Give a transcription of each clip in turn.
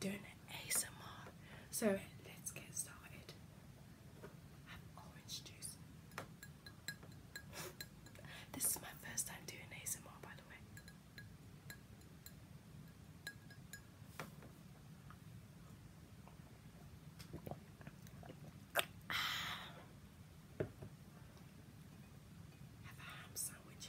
doing an ASMR. So let's get started. Have orange juice. this is my first time doing ASMR, by the way. Ah. Have ham sandwich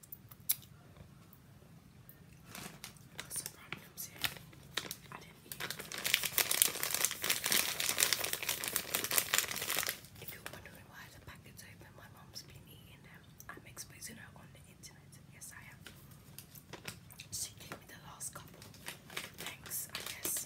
Got If you're wondering why the packet's open, my mom's been eating them. I'm exposing her on the internet. Yes, I am. She gave me the last couple. Thanks, I guess.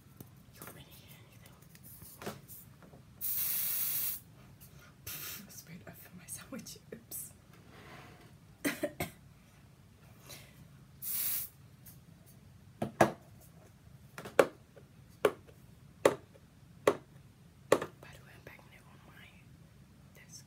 sprayed over my sandwich. Oops. By the way, I'm packing it on my desk.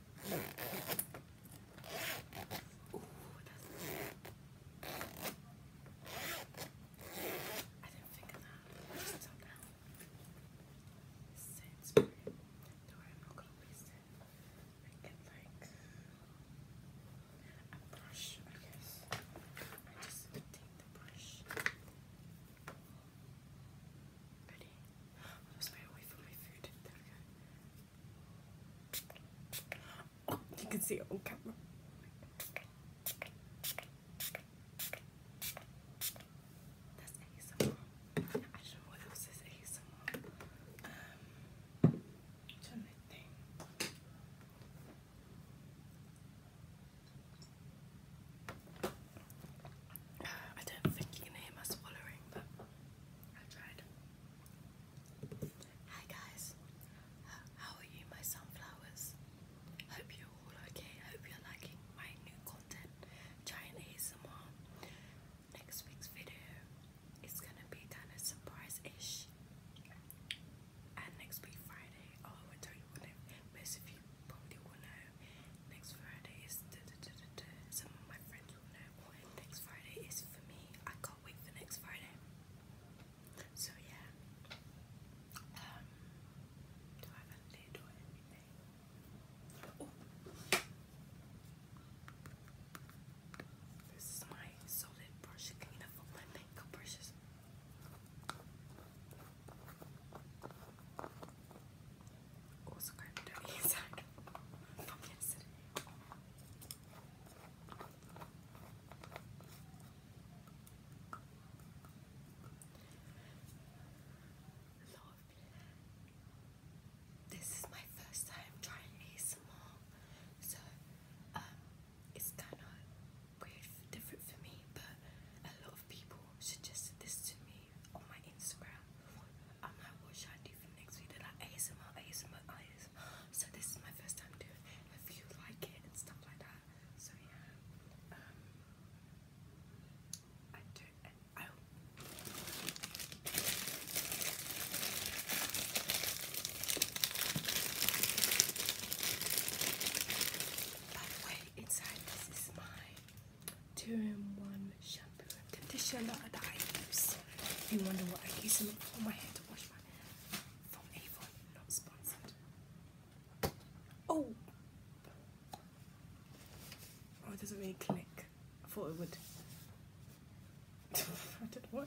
Ooh, I didn't think of that. Just so now. Sainsbury. No, I'm not going I get like a brush, I I just take the brush. Ready? I just made away from my food. There oh, you can see it on camera. That's ASMR. I don't know what else Um, turn that thing. I don't think you can hear my swallowing, but I tried. Hi guys, how are you, my sunflowers? Hope you're all okay. Hope you're liking my new content, Giant more. Next week's video is gonna be kind of surprise-ish. And next week Friday, oh, I will tell you what it most of you probably will know Next Friday is some of my friends will know what next Friday is for me. I can't wait for next Friday. So yeah. Um do I have a lid or anything? Oh. this is my solid brush cleaner for my makeup brushes this is my first time trying ASMR, so um, it's kind of weird, different for me. But a lot of people suggested this to me on my Instagram, I might watch I do for next video like ASMR, ASMR, ASMR. So this is my first time doing If you like it and stuff like that. So yeah. Um, I do and I by the way, inside this is my two-in-one shampoo and conditioner that I use. If you wonder what I use them for my hair to wash my hair from Avon, not sponsored. Oh! Oh, it doesn't really click. I thought it would. I do what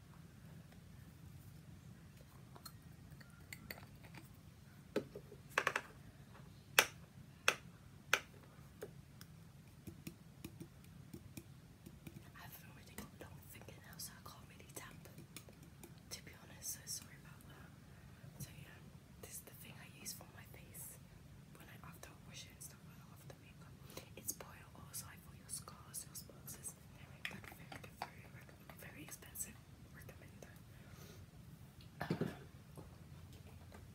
I've already got long fingernails, so I can't really tap. To be honest, so sorry about that. So yeah, this is the thing I use for my face when I after wash it it's boiled also for your scars, your sponsors. Very very good, very, very expensive. Recommend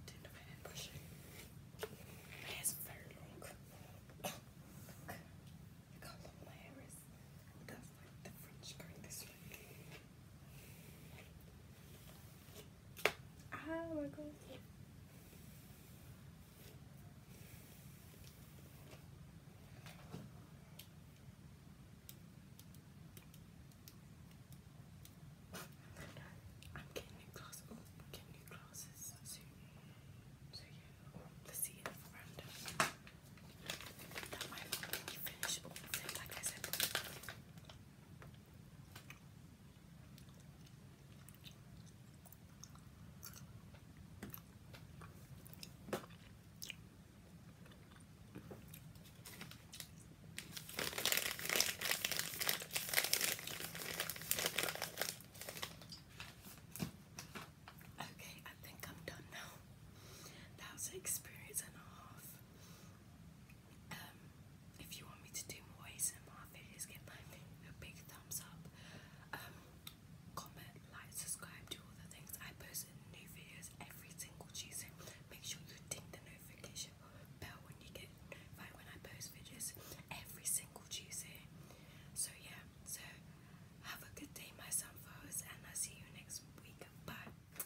didn't have an brushing. My hair's very long. Look, look how long my That's like the fringe going this way. Oh my god. I'm getting new glasses. Oh, getting new glasses soon. So yeah, let's see That might be finished all like I said. Okay, I think I'm done now. That was an experience and a half. Um, if you want me to do more ASMR videos, give my big thumbs up. Um, comment, like, subscribe, do all the things. I post new videos every single Tuesday. Make sure you ding the notification bell when you get notified when I post videos every single Tuesday. So yeah, so have a good day my sunflowers and I'll see you next week. Bye.